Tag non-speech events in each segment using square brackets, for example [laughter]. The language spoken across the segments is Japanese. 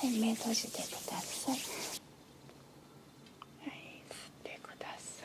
はい、目閉じてください。はい、吸ってください。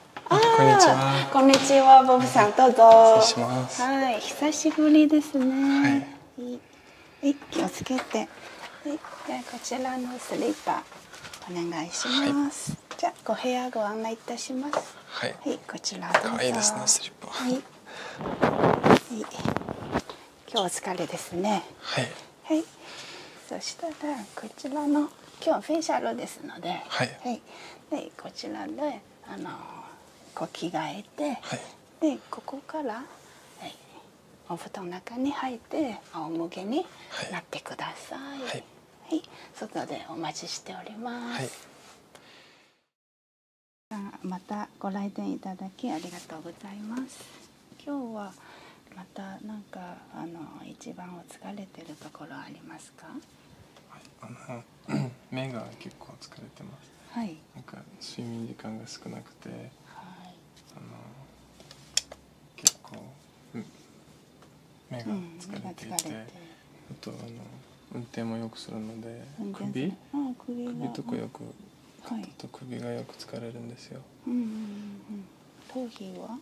こんこんにちは、ボブさん、どうぞ。はい、久しぶりですね。はい。気をつけて。はい、じゃこちらのスリッパ。お願いします。じゃご部屋ご案内いたします。はい。こちら可愛いはい。はい、今日お疲れですね。はい。はい。そしたら、こちらの。今日フェイシャルですので。はい。はい。で、こちらで。あのこう着替えて、でここから、お布団の中に入って仰向けになってください。はい、外でお待ちしております。またご来店いただきありがとうございます今日はまたなんかあの一番お疲れてるところありますか、あの目が結構疲れてますなんか睡眠時間が少なくて結構目が疲れていてあとあの運転もよくするので首首とかよく、はい、と首がよく疲れるんですよ、頭皮は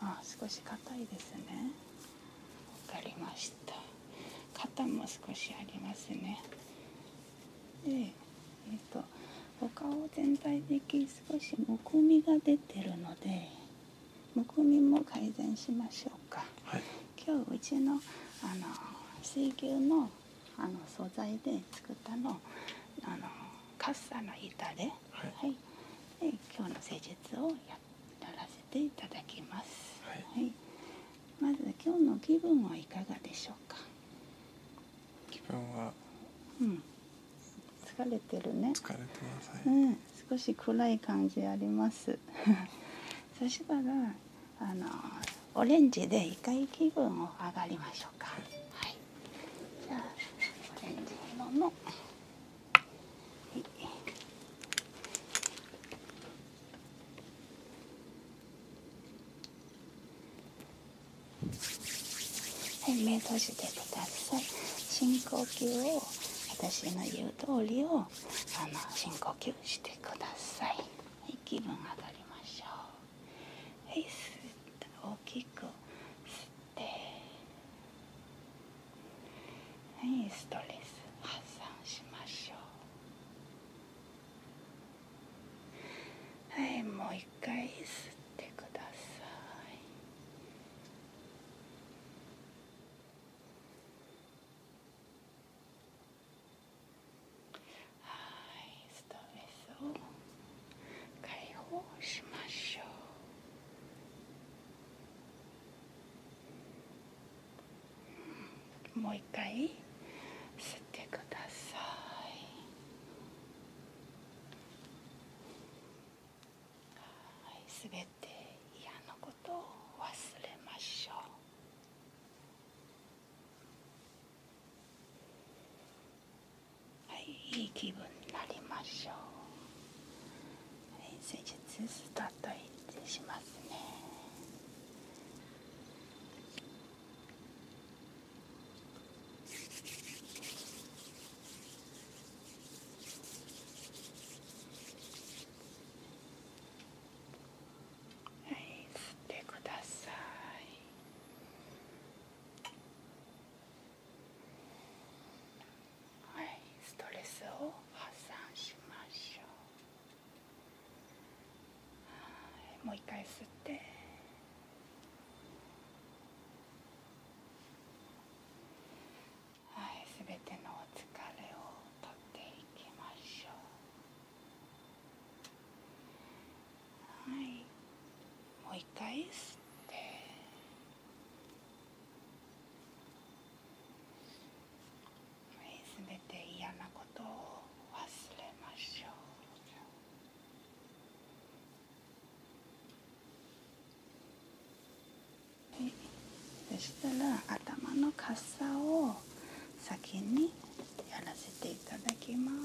あ少し硬いですねわかりました肩も少しありますねでえっ、とお顔全体的に少しむくみが出てるのでむくみも改善しましょうか、今日うちのあの水牛のあの素材で作ったのあのカッサの板で、はい、はい、で今をやらせていただきます、はいまず今日の気分はいかがでしょうか気分はうん疲れてるね疲れてます、うん、少し暗い感じありますそしたらあのオレンジで一回気分を上がりましょうかはいじゃオレンジ色のはい、目閉じてください深呼吸を私の言う通りをあの深呼吸してください、はい、気分上がりましょうはい吸って大きく吸ってはいストレス発散しましょうはいもう一回吸ってくださいはいストレスを解放しましょうもう一回吸ってくださいはい全て嫌なことを忘れましょういい気分になりましょう施術スタートしますねはい吸ってくださいはい、ストレスを発散しましょう。はい、もう一回吸って。はい、すべてのお疲れを取っていきましょう。はい、もう一回吸って。すべて嫌なことを忘れましょうそしたら頭のかさを先にやらせていただきます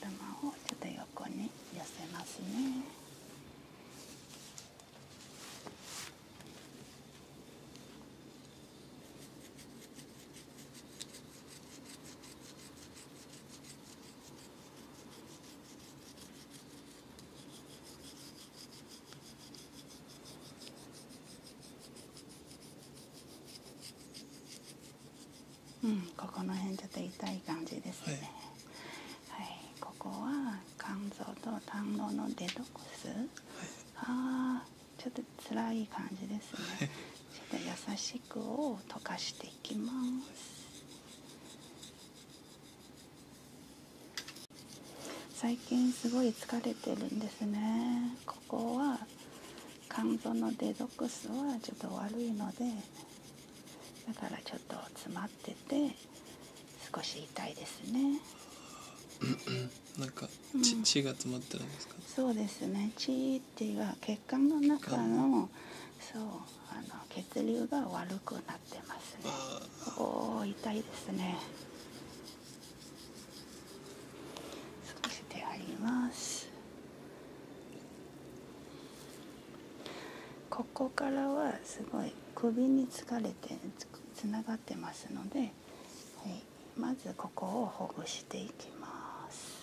頭をちょっと横に寄せますねうん、ここの辺ちょっと痛い感じですね。はい、ここは肝臓と胆ののデトックス。ああ、ちょっと辛い感じですね。ちょっと優しくを溶かしていきます。最近すごい疲れてるんですねここは肝臓のデトックスはちょっと悪いのでだからちょっと詰まってて少し痛いですね [coughs] なんか血が詰まってるんですかそうですね血っていうのは血管の中の血流が悪くななますねおお痛いですね少し手ありますここからはすごい首につかれてつながってますので、はい、まずここをほぐしていきます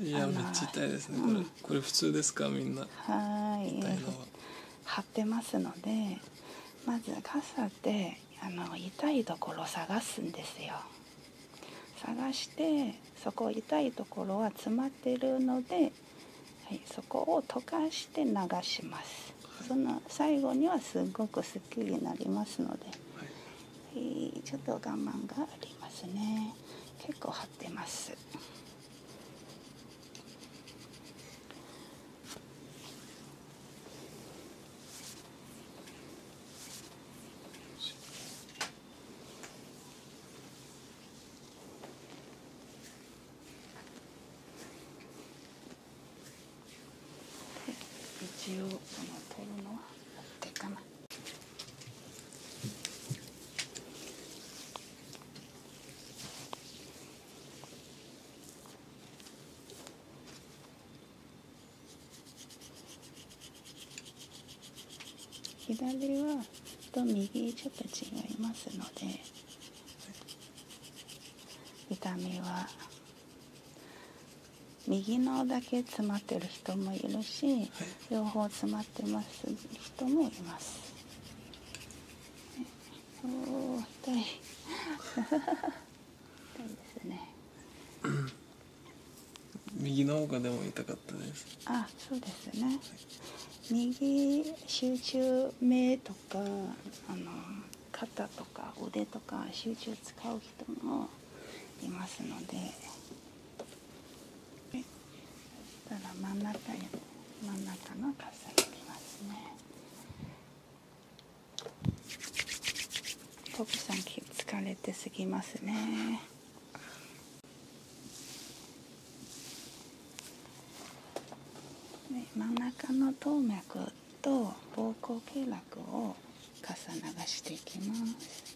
いやめっちゃ痛いですねこれ、普通ですかみんなは痛いのは貼ますのでまず傘であの痛いところ探すんですよ探してそこ痛いところは詰まってるので、はい、そこを溶かして流しますその最後にはすごくすきになりますので、はい、ちょっと我慢がありますね結構張ってます一応この取るのは持ってかない。左はと右ちょっと違いますので痛みは右のだけ詰まってる人もいるし両方詰まってます人もいます。そう痛い痛いですね右の方がでも痛かったですあそうですね、右集中目とかあの肩とか腕とか集中使う人もいますのでそしたら真ん中に真ん中の重にきますねトさん疲れてすぎますね真ん中の動脈と膀胱経絡を傘流していきます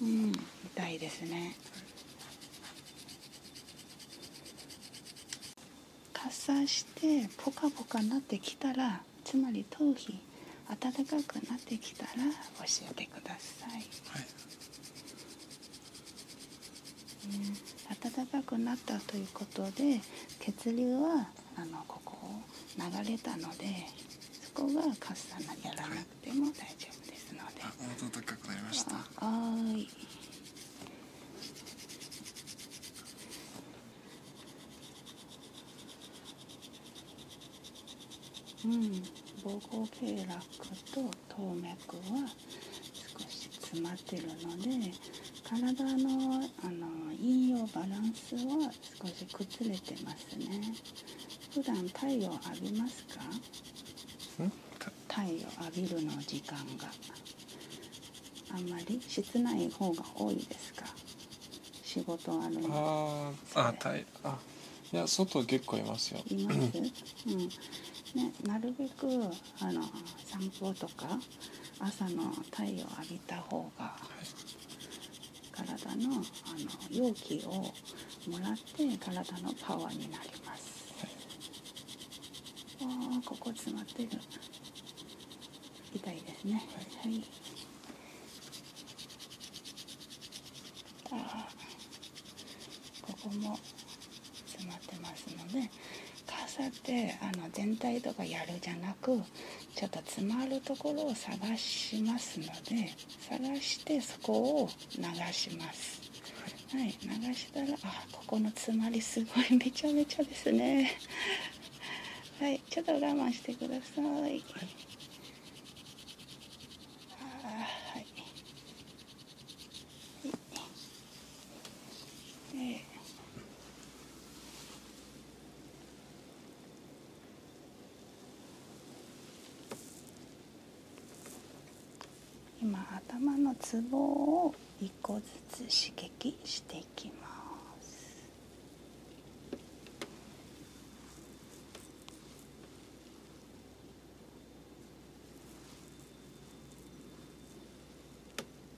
うん痛いですねかさしてポカポカなってきたらつまり頭皮暖かくなってきたら教えてください、はいうん暖かくなったということで血流はあのここを流れたのでそこがカッサナやらなくても大丈夫ですので。あ暖かくなりました。はいうん、膀胱経絡と動脈は少し詰まってるので体のあのいいよバランスは少し崩れてますね普段太陽浴びますか太陽浴びるの時間があんまり室内方が多いですか仕事あるのああたあいや外結構いますよいます、うんね、なるべくあの散歩とか朝の太陽を浴びた方が体のあの容器をもらって体のパワーになります、はい、ここ詰まってる痛いですねはい、ここも詰まってますのでカーってあの全体とかやるじゃなくちょっと詰まるところを探しますので探してそこを流しますはい流したらあここの詰まりすごいめちゃめちゃですねはいちょっと我慢してくださいあははいで今頭のツボを1個ずつ刺激していきます。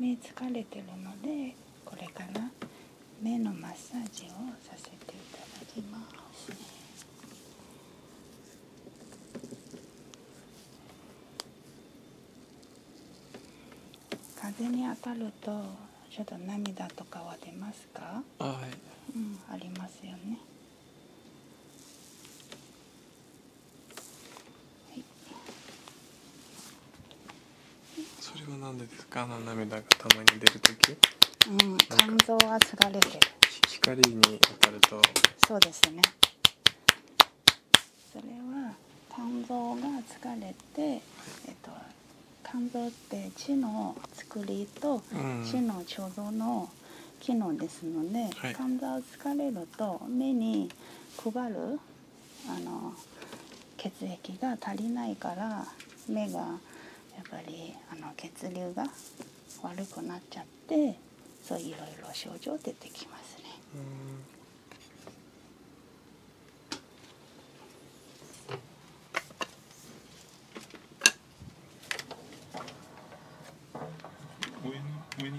目疲れてるのでこれかな目のマッサージをさせていただきます風に当たるとちょっと涙とかは出ますかうん、ありますよねはい、それは何でですかあの涙がたまに出る時うん肝臓はすがれてる光に当たるとそうですねそれは肝臓が疲れて、えっと、肝臓って地の作りと地の貯蔵の機能ですので、肝臓疲れると目に配るあの血液が足りないから目がやっぱりあの血流が悪くなっちゃってそういろいろ症状出てきますね。うん。上に。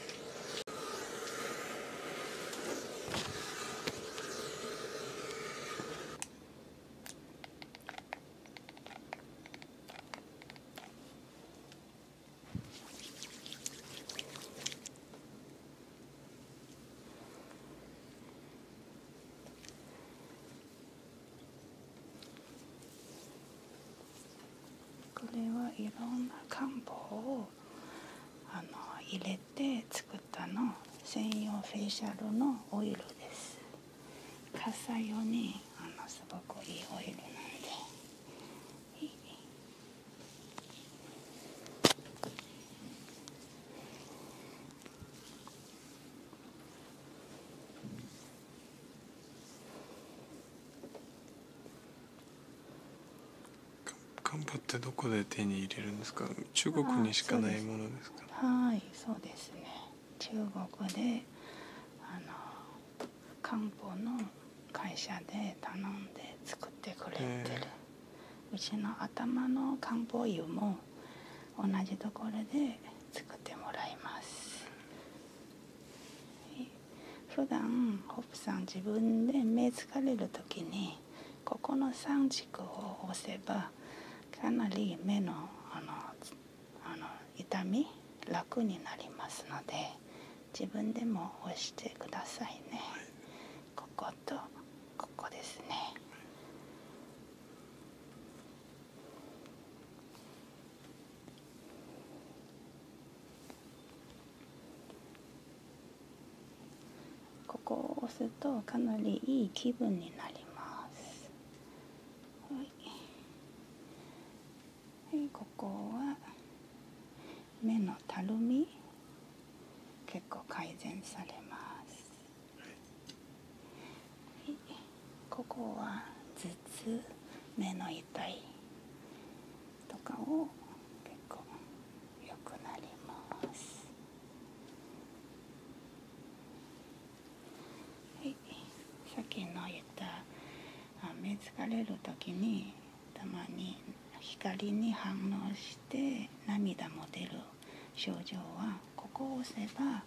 これはいろんな漢方をあの入れて作ったの専用フェイシャルのオイルですカッ用にあのすごくいいオイルなんで。いい。ガンバってどこで手に入れるんですか中国にしかないものですはいそうですね中国であの漢方の会社で頼んで作ってくれてる、うちの頭の漢方湯も同じところで作ってもらいます普段ホップさん自分で目疲れる時にここの3軸を押せばかなり目のの痛み楽になりますので自分でも押してくださいね。こことここですね。ここを押すとかなりいい気分になりますはい、はい、ここは目のたるみ結構改善されます、はい、ここは頭痛目の痛いとかを結構良くなりますはいさっきの言った目疲れる時にたまに光に反応して涙も出る症状はここを押せば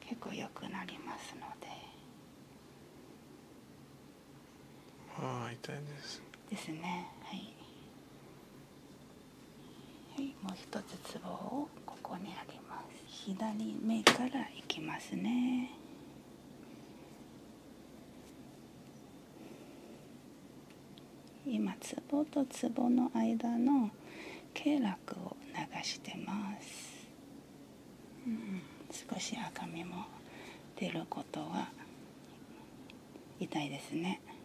結構良くなりますのでああ痛いんですですねはいはい、もう一つツボをここにあります左目からいきますね今ツボとツボの間の経絡を流してます、少し赤みも出ることは痛いですね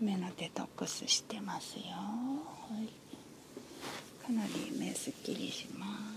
目のデトックスしてますよ、はい、かなり目すっきりします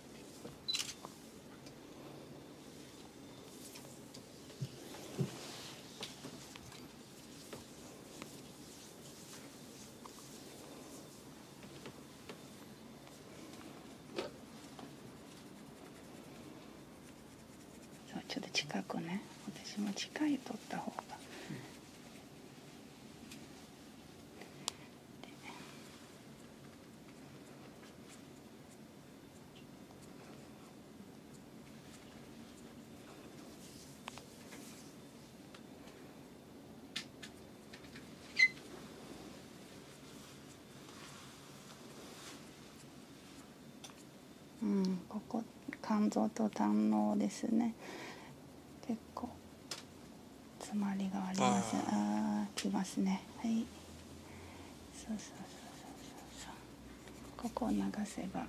ちょっと近くね私も近い取った方が、うん、ここ肝臓と胆のですね結構詰まりがありますああきますねはいそうそうそうそうそうここを流せば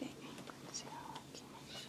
できんこっち側来ましょう。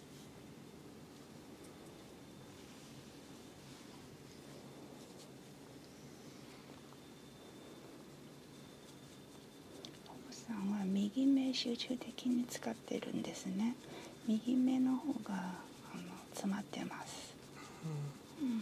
さんは右目集中的に使ってるんですね右目の方があの詰まってます、うんうん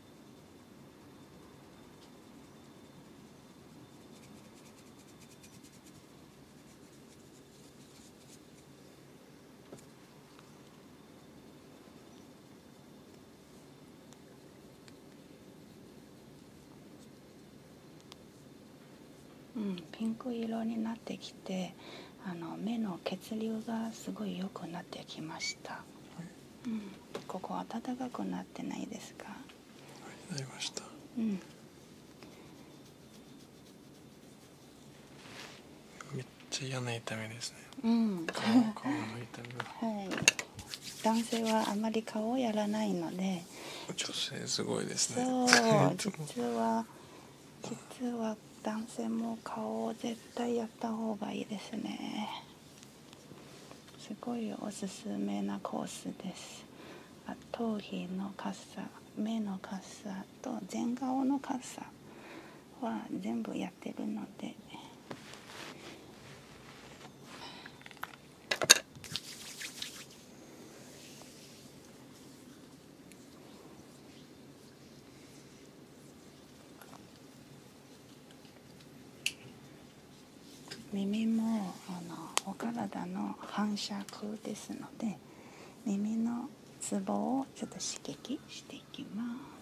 うん、ピンク色になってきてあの目の血流がすごい良くなってきました。うん、うんここ暖かくなってないですかはいなりましたうんめっちゃ嫌な痛みですねうん顔顔の痛み [laughs] はい男性はあまり顔をやらないので女性すごいですね [laughs] 実は実は男性も顔を絶対やった方がいいですねすごいおすすめなコースですあ頭皮のカッ目のカッと全顔のカッは全部やってるので耳もあのお体の反射区ですので耳のツボをちょっと刺激していきます。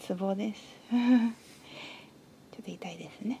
ツボです [laughs] ちょっと痛いですね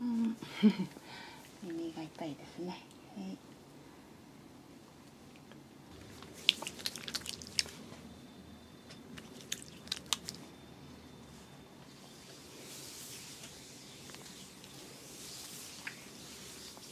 う [laughs] ん耳が痛いですね。はい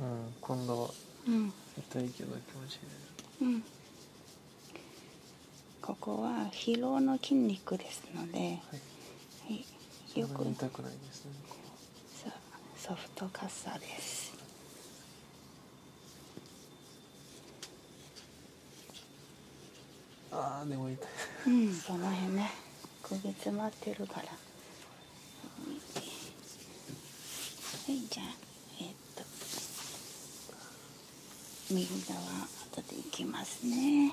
うん、今度は痛いうん、ここは疲労の筋肉ですので、はい、よく痛くないですねソフトカッサですあーうんその辺ね焦げ詰まってるからはいじゃあえっと右側後でいきますね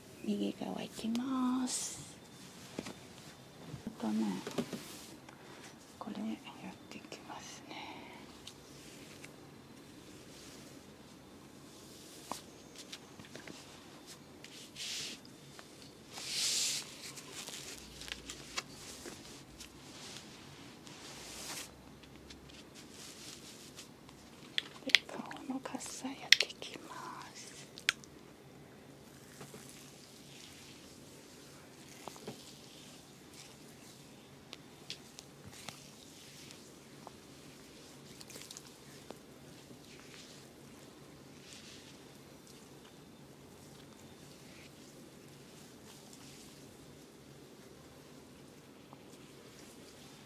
右側いきますあとねこれやってきますね顔のカッサやっていきます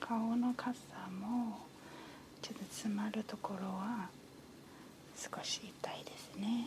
顔のかさもちょっと詰まるところは少し痛いですね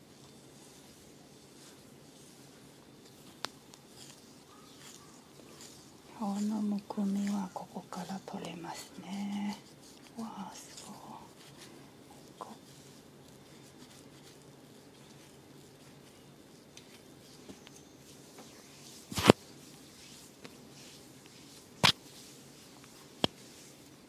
顔のむくみはここから取れますねわあすごいこ。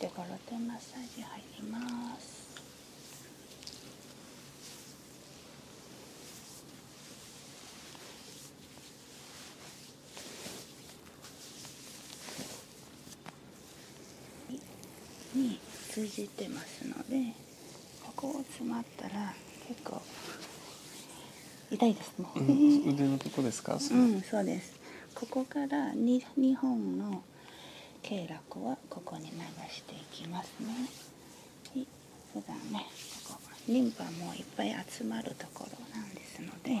手頃手マッサージ入りますでここを詰まったら結構痛いでこですか [laughs] ここから2本の経絡はここに流していきますねはい普ねリンパもいっぱい集まるところなんですので。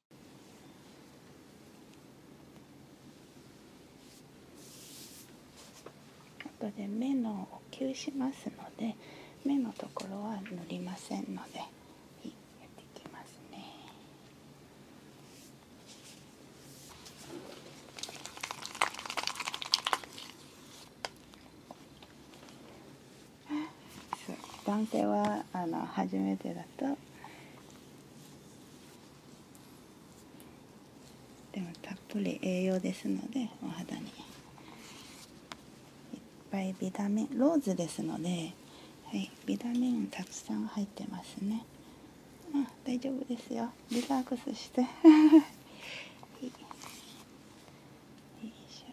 後で目の補給しますので目のところは塗りませんのでやっていきますね断定はあの初めてだとでもたっぷり栄養ですのでお肌にいっぱいビタミンローズですので、はい、ビタミンたくさん入ってますねあ大丈夫ですよリラックスしてはい。よいしょ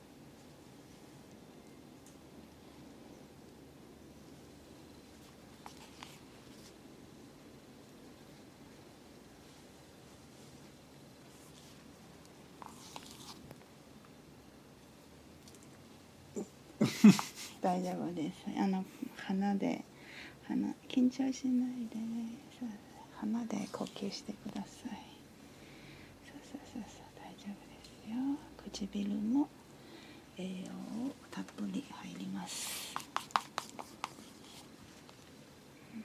大丈夫です。あの鼻で鼻緊張しないで鼻で呼吸してください。そうそうそうそう大丈夫ですよ唇も栄養をたっぷり入りますうん。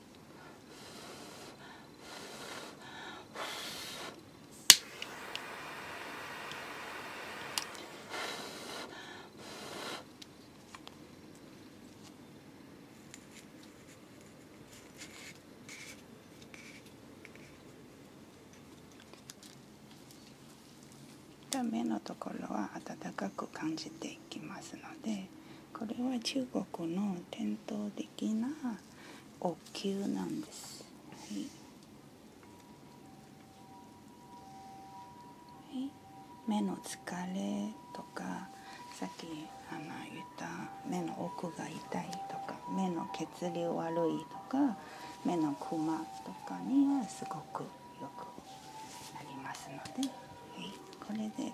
目のところは暖かく感じていきますのでこれは中国の伝統的なお灸なんです。はい、目の疲れとかさっき言った目の奥が痛いとか目の血流悪いとか目のクマとかにはすごくよくなりますので、はい、これで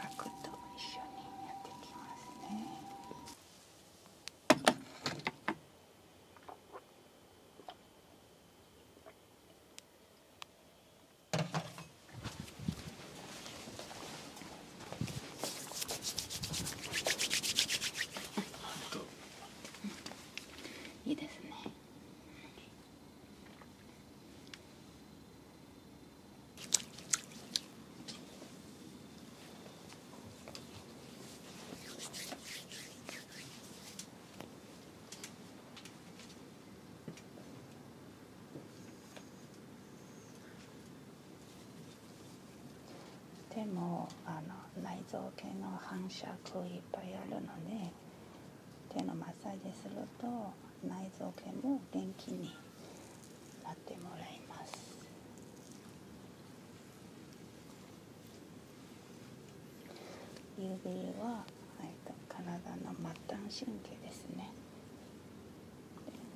パクと一緒にやっていきます。いいですねでもあの内臓系の反射区いっぱいあるので手のマッサージすると内臓系も元気に指は、体の末端神経ですね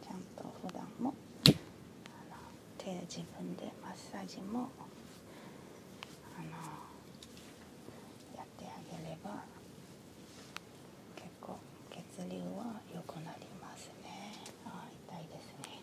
ちゃんと普段も手自分でマッサージもやってあげれば結血流は良くなりますね痛いですね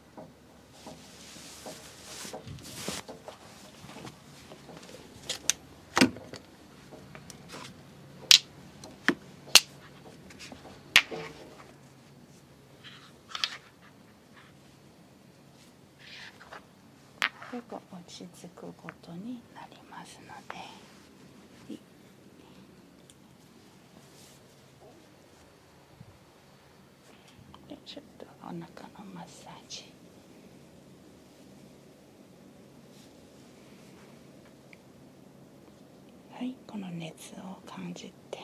よく落ち着くことになりますので。ちょっとお腹のマッサージはいこの熱を感じて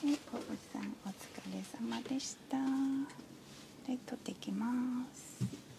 小渕さんお疲れ様でした。で取ってきます。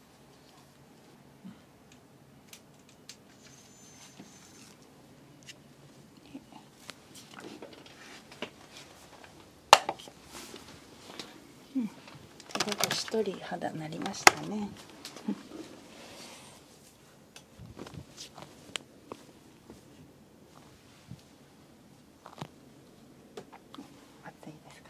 一人肌なりましたね。[laughs] いですか。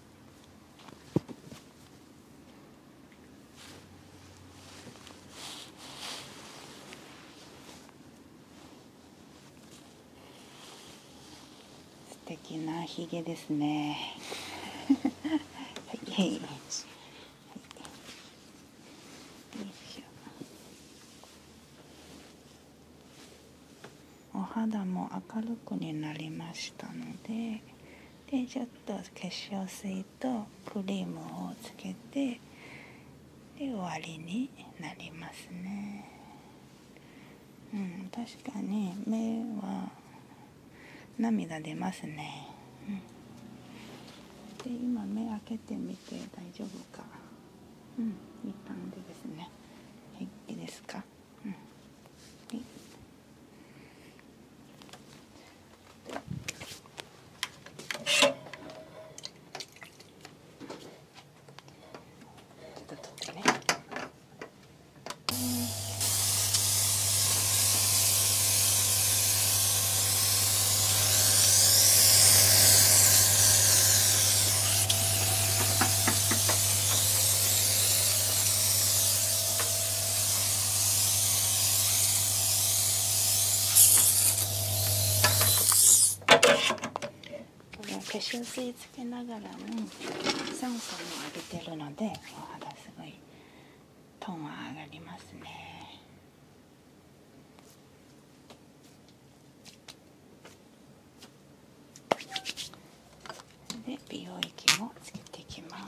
素敵なひげですね [laughs] はい、お肌も明るくになりましたのででちょっと化粧水とクリームをつけてで終わりになりますねうん確かに目は涙出ますね、うん、で今目開けてみて大丈夫かうんいい感じですね平気ですかうんちょっと取ってねうん化粧水つけながらも酸素も浴びてるのでお肌すごいトーンは上がりますねで美容液もつけていきます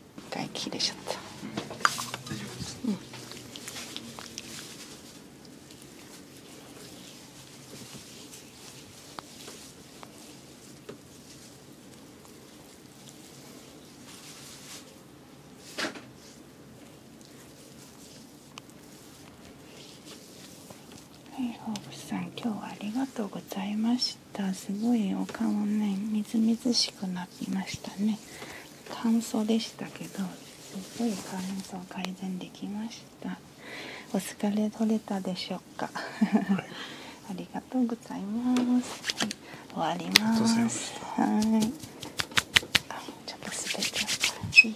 大丈夫はい大口さん今日はありがとうございましたすごいお顔ねみずみずしくなりましたね乾燥でしたけどすごい乾燥改善できましたお疲れ取れたでしょうかありがとうございます、はい、終わりますはいちょっと滑っちゃっい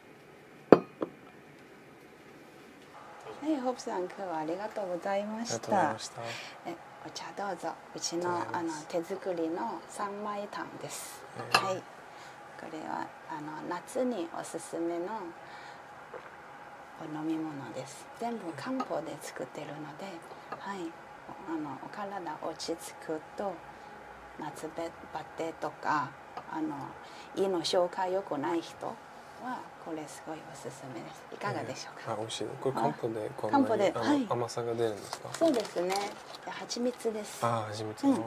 はい、ホブさん、今日はありがとうございました。え、お茶どうぞ。うちのあの手作りの三枚炭です。はい。これはあの夏におすすめのお飲み物です。全部漢方で作ってるので、はい。あのお体落ち着くと夏バテとかあの家の紹介よくない人はこれすごいおすすめですいかがでしょうか、あ美味しいこれ漢方でこんで、甘さが出るんですかそうですね蜂蜜ですあ蜂蜜、うん、こ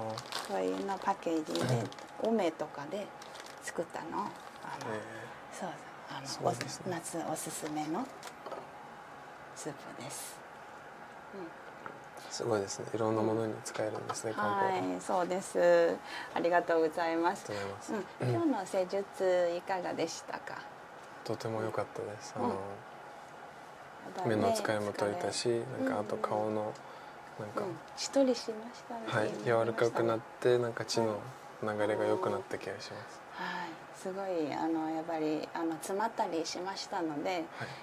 ういうのパッケージで、うとかで作ったのそうあの夏おすすめのスープです、うんすごいですね。いろんなものに使えるんですね。はい、そうです。ありがとうございます。今日の施術いかがでしたか。とても良かったです。あの、目の使いも取れたし、なんかあと顔のなんか、うん、しましたね。柔らかくなってなんか血の流れが良くなった気がします。すごいあのやっぱりあの詰まったりしましたので、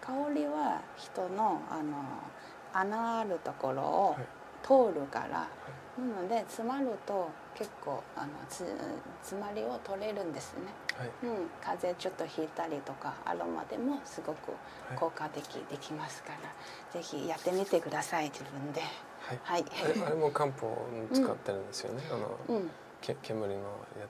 香りは人のあの穴あるところを通るから、なので詰まると結構あのつ詰まりを取れるんですね、うん、風邪ちょっとひいたりとかアロマでもすごく効果的できますから、はい、ぜひやってみてください自分で、はいあれも漢方使ってるんですよね、[laughs] あの、煙のや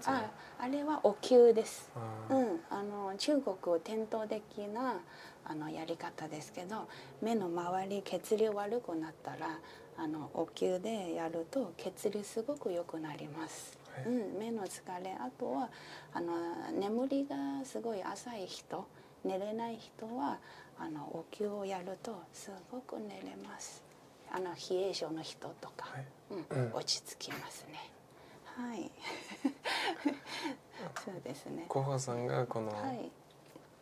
つ、ね、あれはお灸です、うん、あの中国伝統的なあのやり方ですけど目の周り血流悪くなったらあのお灸でやると血流すごく良くなります。うん、目の疲れあとはあの眠りがすごい浅い人寝れない人はあのお灸をやるとすごく寝れますあの冷え性の人とか、うん、落ち着きますね。はい。[laughs] そうですね。広報さんがこの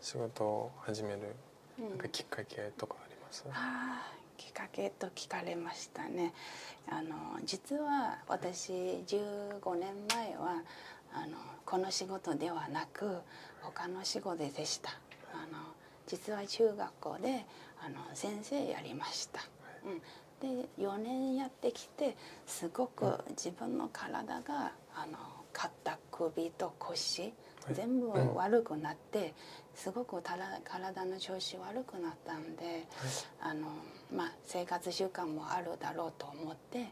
仕事を始めるなんかきっかけとかあります？うん、きっかけと聞かれましたね。あの実は私15年前はあのこの仕事ではなく他の仕事でした。あの。実は中学校であの先生やりました。うん、で4年やってきてすごく自分の体があの肩首と腰全部悪くなってすごく体の調子悪くなったんで、あのまあ、生活習慣もあるだろうと思って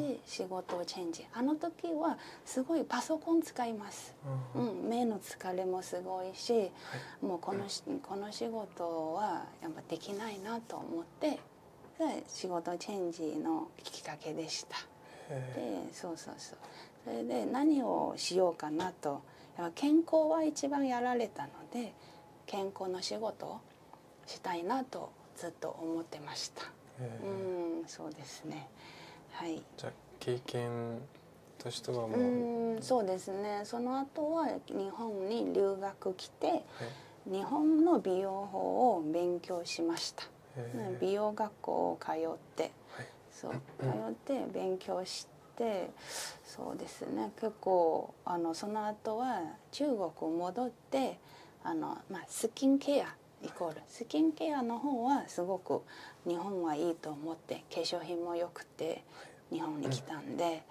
で仕事をチェンジあの時はすごいパソコン使います。、うん、目の疲れもすごいし、もうこのこの仕事はやっぱできないなと思って仕事チェンジのきっかけでしたでそうそうそうそれで何をしようかなとやっぱ健康は一番やられたので健康の仕事をしたいなとずっと思ってましたうんそうですねはいじゃ経験としてはもうんそうですねその後は日本に留学来て、日本の美容法を勉強しました美容学校を通って、そう通って勉強してそうですね結構あのその後は中国戻ってあの、まあ、スキンケアイコールスキンケアの方はすごく日本はいいと思って化粧品もよくく日本に来たんで、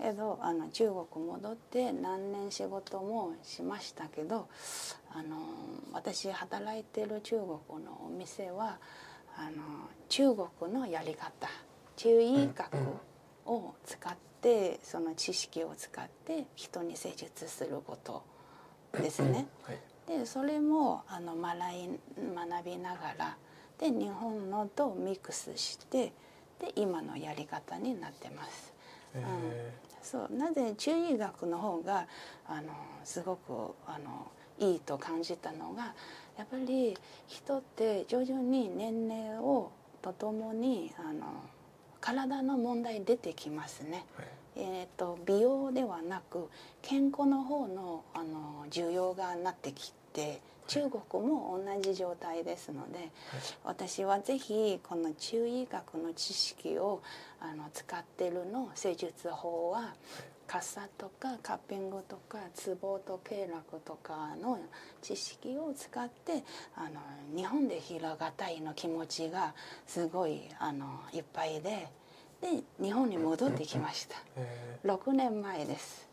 けどあの中国戻って何年仕事もしましたけどあの私働いてる中国のお店はあの中国のやり方中医学を使ってその知識を使って人に施術することですね。でそれもあの学い学びながらで日本のとミックスしてで今のやり方になってます。うん、そうなぜ中医学の方があのすごくあのいいと感じたのがやっぱり人って徐々に年齢をとともにあの体の問題出てきますね。えーと、美容ではなく健康の方のあの需要がなってきき中国も同じ状態ですので、私は是非この中医学の知識をあの使ってるの施術法は、はい、傘とかカッピングとかツボと経絡とかの知識を使ってあの日本でひらがたいの気持ちがすごいあのいっぱいで。で日本に戻ってきました、6年前です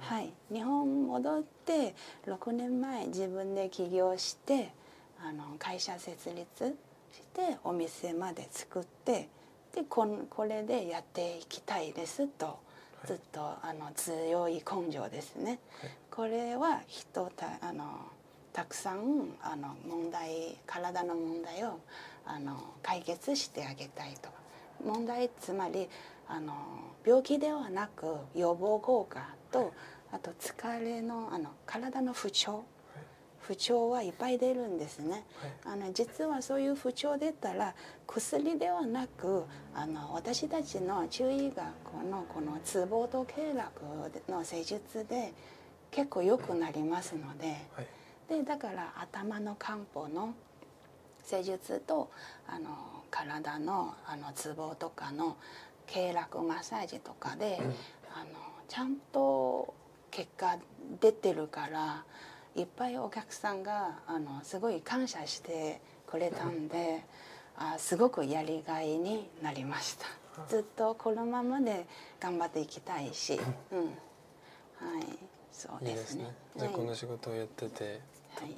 はい日本戻って6年前自分で起業してあの会社設立してお店まで作ってでここれでやっていきたいですとずっとあの強い根性ですね、これは人たあのたくさんあの問題体の問題をあの解決してあげたいと問題つまりあの病気ではなく予防効果とあと疲れのあの体の不調不調はいっぱい出るんですね、あの実はそういう不調出たら薬ではなくあの私たちの中医学のこのツボと経絡の施術で結構良くなりますのででだから頭の漢方の施術とあの体のあのツボとかの経絡マッサージとかで、あのちゃんと結果出てるからいっぱいお客さんがあのすごい感謝してくれたんで、うあすごくやりがいになりました。ずっとこのままで頑張っていきたいし、うん、はいそうですねで、この仕事をやってて、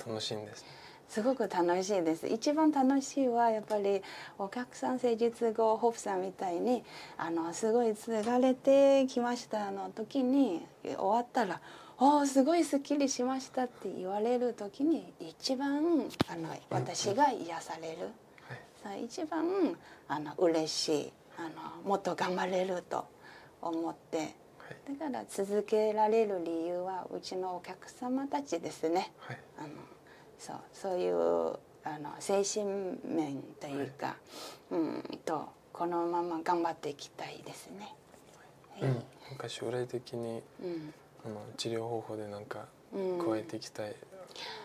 楽しいんです、すごく楽しいです一番楽しいはやっぱりお客さん誠実語ホップさんみたいにあのすごい継がれてきましたの時に終わったら「あおすごいすっきりしました」って言われる時に一番あの私が癒される、はい、一番あの嬉しいあのもっと頑張れると思ってだから続けられる理由はうちのお客様たちですね、あのそうそういうあの精神面というか、うんとこのまま頑張っていきたいですね。はうん、なか将来的に、あの治療方法でなんか加えていきたい、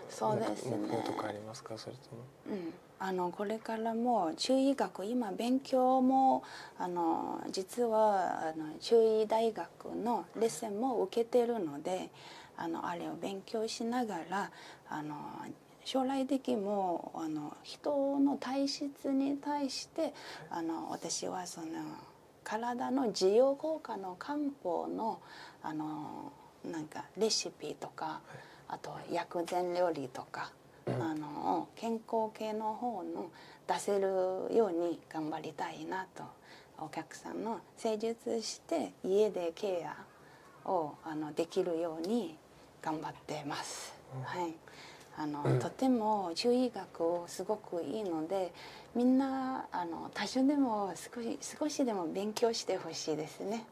そうですね、目標とかありますかそれとも。あのこれからも中医学今勉強もあの実はあの中医大学のレッスンも受けてるのであのあれを勉強しながらあの将来的にもあの人の体質に対してあの私はその体の需要効果の漢方のあのなんかレシピとかあと薬膳料理とかあの健康系の方の出せるように頑張りたいなとお客さんの施術して家でケアをあのできるように頑張ってます。はいあの、とても中医学をすごくいいのでみんなあの多少でも少し少しでも勉強してほしいですね。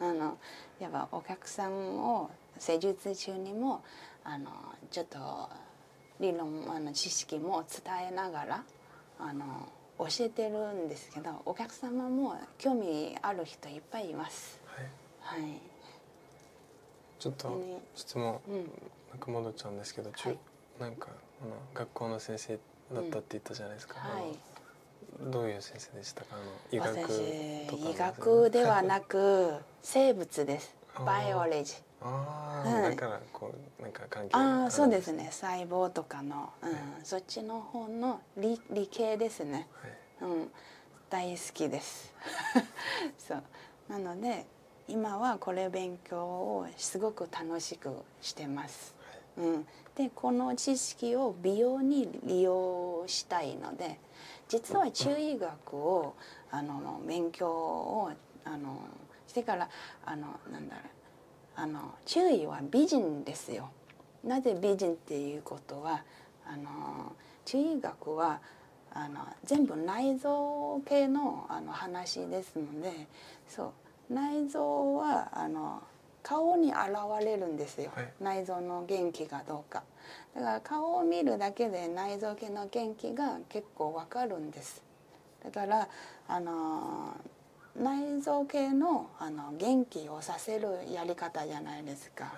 あのやっぱお客さんを施術中にもあのちょっと理論あの知識も伝えながらあの教えてるんですけどお客様も興味ある人いっぱいいます。はい、はい、ちょっと質問、うん、なんか戻っちゃうんですけど、はい、なんかあの学校の先生だったって言ったじゃないですか。はい、どういう先生でしたか医医学ではなく生物ですバイオレジああ、そうですね細胞とかの、うん、そっちの方の理理系ですね、うん大好きです [laughs] そうなので今はこれ勉強をすごく楽しくしてます、うん、でこの知識を美容に利用したいので実は中医学をあの勉強をあのしてからあのなんだろうあの中医は美人ですよ。なぜ美人っていうことはあの中医学はあの全部内臓系のあの話ですのでそう内臓はあの顔に現れるんですよ、内臓の元気がどうか。だから顔を見るだけで内臓系の元気が結構わかるんですだからあの内臓系のあの元気をさせるやり方じゃないですか、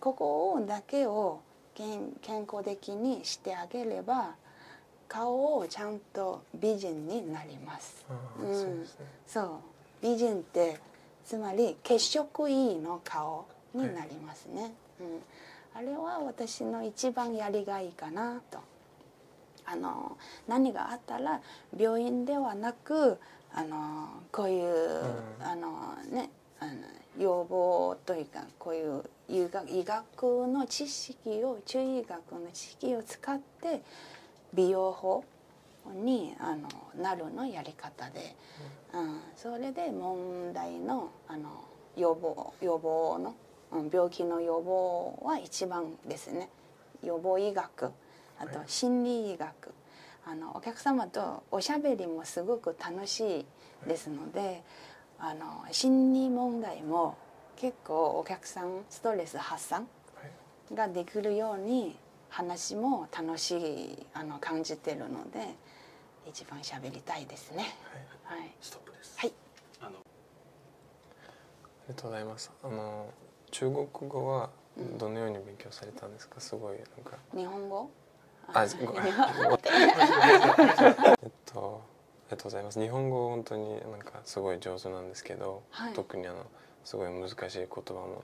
ここをだけを健康的にしてあげれば顔をちゃんと美人になります。そう美人ってつまり血色いいの顔になりますね、あれは私の一番やりがいかなとあの何があったら病院ではなくあのこういう、あのねあの要望というかこういう医学医学の知識を中医学の知識を使って美容法にあのなるのやり方で、それで問題のあの予防予防の、病気の予防は一番ですね予防医学あと心理医学、あのお客様とおしゃべりもすごく楽しいですので、あの心理問題も結構お客さんストレス発散ができるように話も楽しいあの感じてるので一番喋りたいですね。はい、ストップです。はい。あのありがとうございます。あの中国語はどのように勉強されたんですか。すごいなんか日本語。あ、ごめん。[laughs] えっとありがとうございます。日本語本当になんかすごい上手なんですけど、特にあのすごい難しい言葉も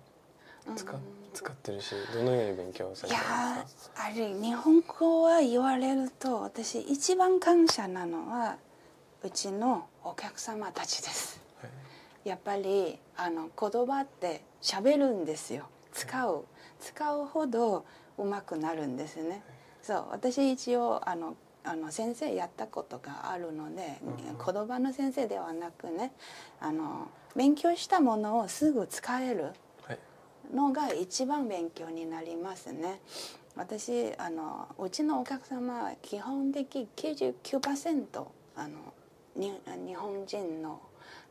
使使ってるしどのように勉強されてますかいやあれ日本語は言われると私一番感謝なのはうちのお客様たちです、やっぱりあの言葉って喋るんですよ使う、使うほどうまくなるんですね、そう私一応あのあの先生やったことがあるので、言葉の先生ではなくねあの勉強したものをすぐ使えるのが一番勉強になりますね。私あのうちのお客様は基本的99%あの日本人の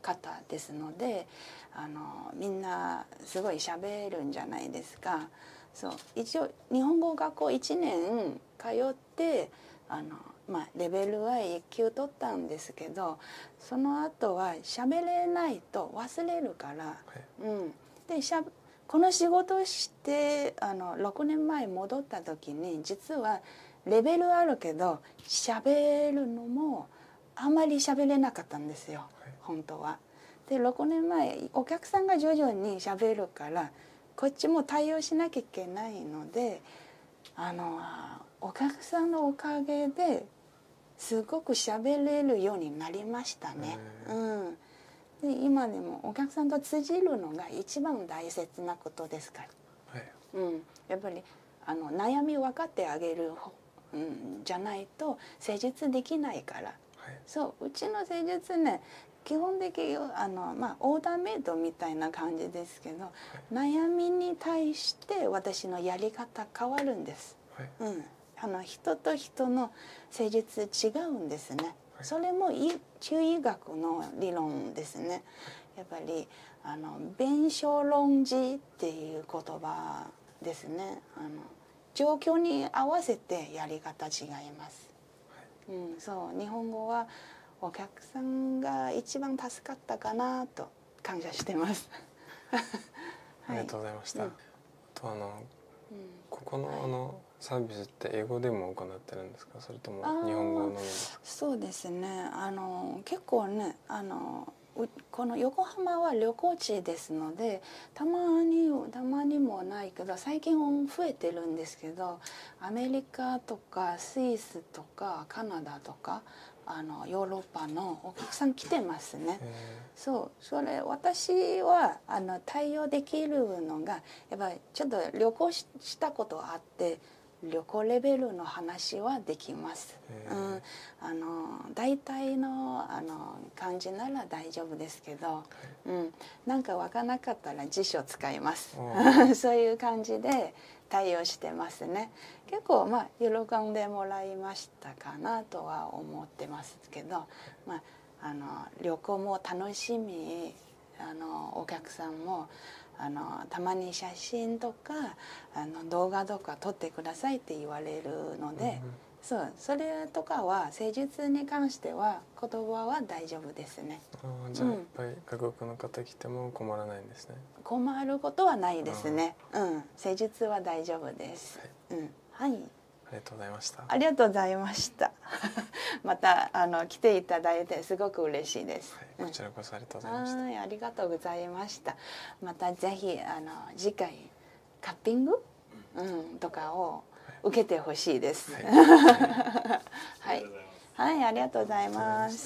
方ですのであのみんなすごい喋るんじゃないですか。そう一応日本語学校1年通ってあの、まあ、レベルは1級取ったんですけどその後は喋れないと忘れるから、うん、でしゃこの仕事してあの6年前戻った時に実はレベルあるけど喋るのもあまり喋れなかったんですよ、はい、本当は。で6年前お客さんが徐々に喋るからこっちも対応しなきゃいけないのであのお客さんのおかげですごく喋れるようになりましたね。うん、今でもお客さんと通じるのが一番大切なことですから、はい、うん、やっぱりあの悩み分かってあげるうん、じゃないと施術できないから、はい、そううちの施術ね基本的あの、まあ、オーダーメイドみたいな感じです。ですけど、悩みに対して私のやり方変わるんです。うん、あの人と人の誠実違うんですね。それも中医学の理論ですね。やっぱりあの弁証論じっていう言葉ですね。あの状況に合わせてやり方違います。うん、そう日本語はお客さんが一番助かったかなと感謝してます [laughs] ありがとうございました、とあの、ここのあのサービスって英語でも行ってるんですかそれとも日本語のそうですねあの結構ねあのこの横浜は旅行地ですのでたまにたまにもないけど最近は増えてるんですけどアメリカとか。スイスとかカナダとかヨーロッパのお客さん来てますね。そうそれ私は対応できるのがやっぱちょっと旅行したことあって旅行レベルの話はできます。大体の感じなら大丈夫ですけど、なんかわかなかったら辞書使います。[laughs] そういう感じで対応してますね結構まあ喜んでもらいましたかなとは思ってますけど、まあ、あの旅行も楽しみあのお客さんもあのたまに写真とかあの動画とか撮ってくださいって言われるので、そうそれとかは施術に関しては言葉は大丈夫ですね。あじゃあいっぱい外国の方来ても困らないんですね。困ることはないですね。うん、施術は大丈夫です。うん、はい。ありがとうございました。[laughs] また。あの来ていただいてすごく嬉しいです。こちらこそありがとうございました。また。またあの次回カッピング、うん、とかを受けてほしいです。はい、[laughs] はい、ありがとうございます。